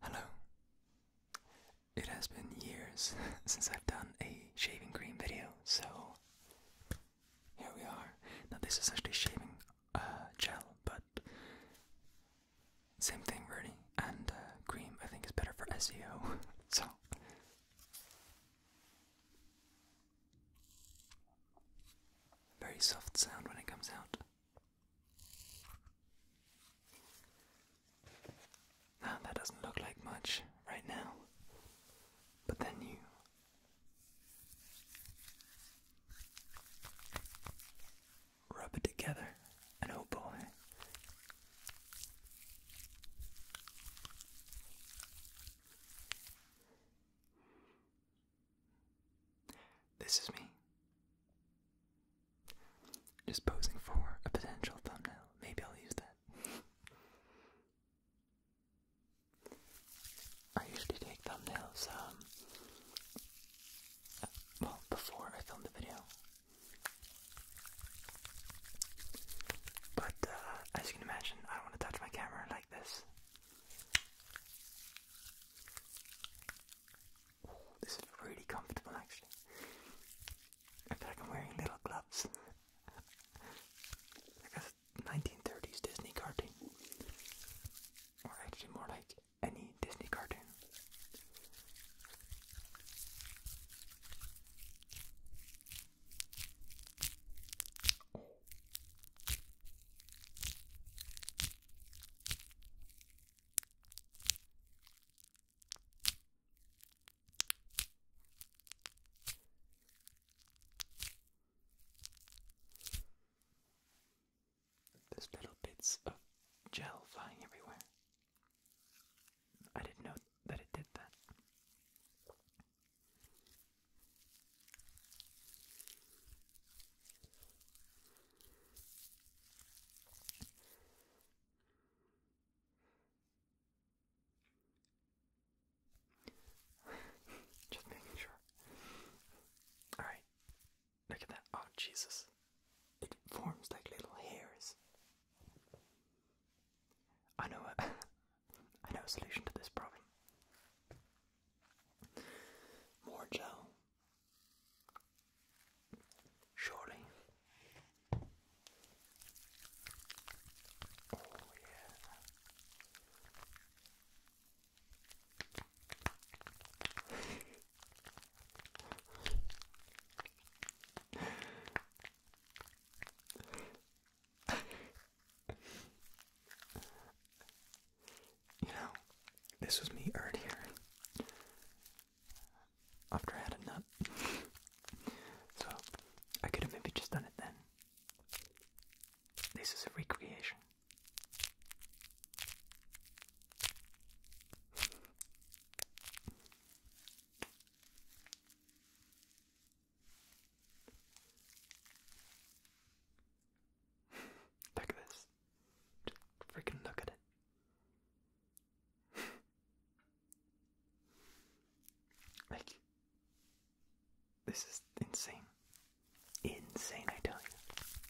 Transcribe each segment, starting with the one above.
Hello. It has been years since I've done a shaving cream video, so here we are. Now, this is actually shaving uh, gel, but same thing really, and uh, cream I think is better for SEO, so very soft sound when it comes out. Now that doesn't look like much right now, but then you. Rub it together, and oh boy, this is me. Just posing for a potential thumbnail. Maybe I'll use that. I usually take thumbnails, um, uh, well, before I film the video. But uh, as you can imagine, I don't want to touch my camera like this. this is really comfortable actually. I feel like I'm wearing little gloves. like a 1930s Disney cartoon. Or actually more like any Disney cartoon. Oh. There's little bits of gel flying everywhere. I didn't know that it did that. Just making sure. Alright, look at that. Oh, Jesus. It forms like little hairs I know a, I know a solution to this problem. More gel. Surely. Oh, you know, this was me earlier after I had a nut. so I could have maybe just done it then. This is a recreation. Look at this. Just freaking look at it. like, this is insane. Insane, I tell you.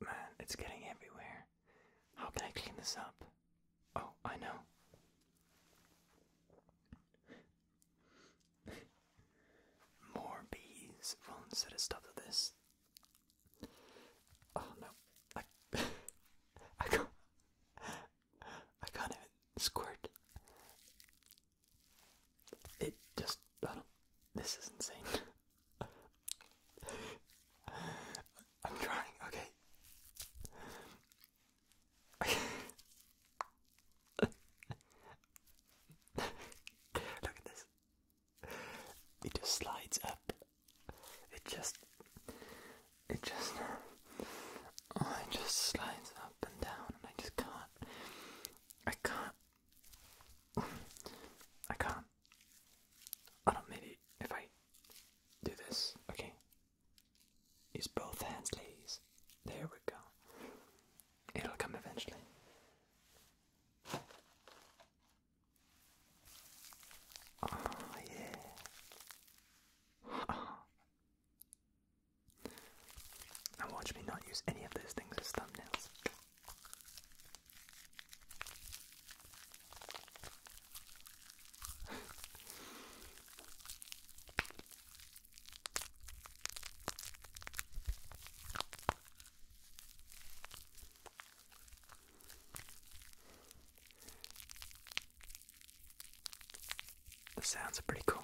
Man, it's getting everywhere. How can I clean this up? Oh, I know. More bees will instead of stuff to this. Oh no. I, I can I can't even squirt. It just, I don't, this is insane. I'm trying, okay. Look at this. It just slides up it just, it just, oh, it just slides up and down, and I just can't, I can't, I can't. I don't maybe if I do this, okay. Use both hands, ladies. There we go. It'll come eventually. Oh yeah and watch me not use any of those things as thumbnails. The sounds are pretty cool.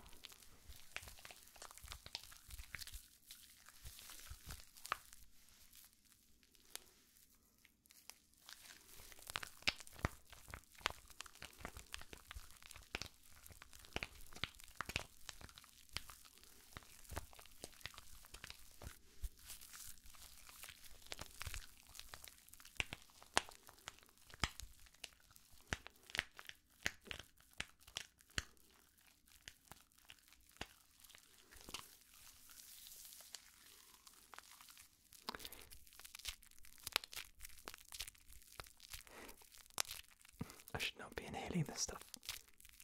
I should not be inhaling this stuff.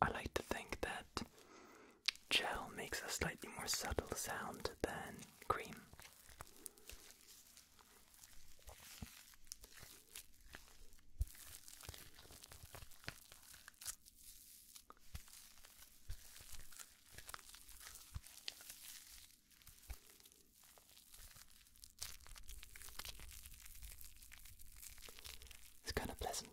I like to think that gel makes a slightly more subtle sound than cream. It's kind of pleasant.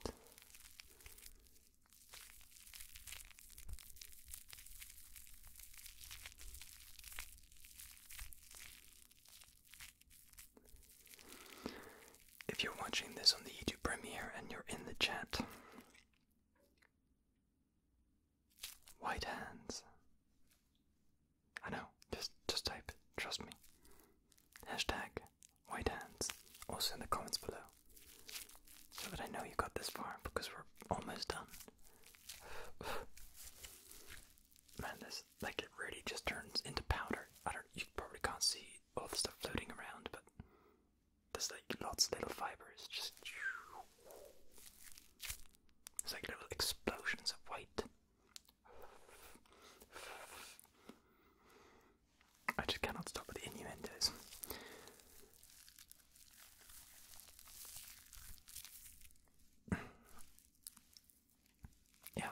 If you're watching this on the YouTube premiere and you're in the chat, White hands. I know, just just type trust me. Hashtag white hands. Also in the comments below. So that I know you got this far because we're almost done. Man, this like it really just turns into powder. I don't you probably can't see all the floating around, but there's like lots of little fibers, just. It's like little explosions of white. I just cannot stop with the innuendos. yeah.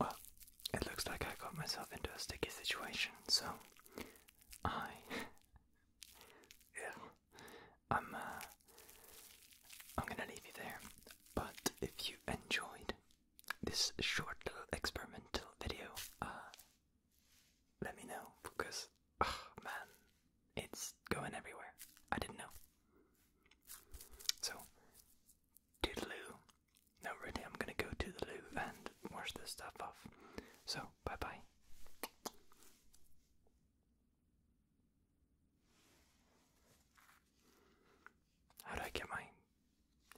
Well, it looks like I got myself into a sticky situation, so I. Ew. I'm, uh. I'm gonna leave you there. But if you enjoyed this short little experimental video, uh. Let me know, because. man, it's going everywhere. I didn't know. So, toodaloo. No, really, I'm gonna go to the loo and wash this stuff off. So, bye bye. How do I get my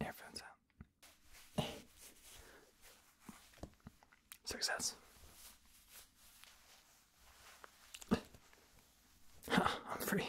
earphones out? Success. I'm free.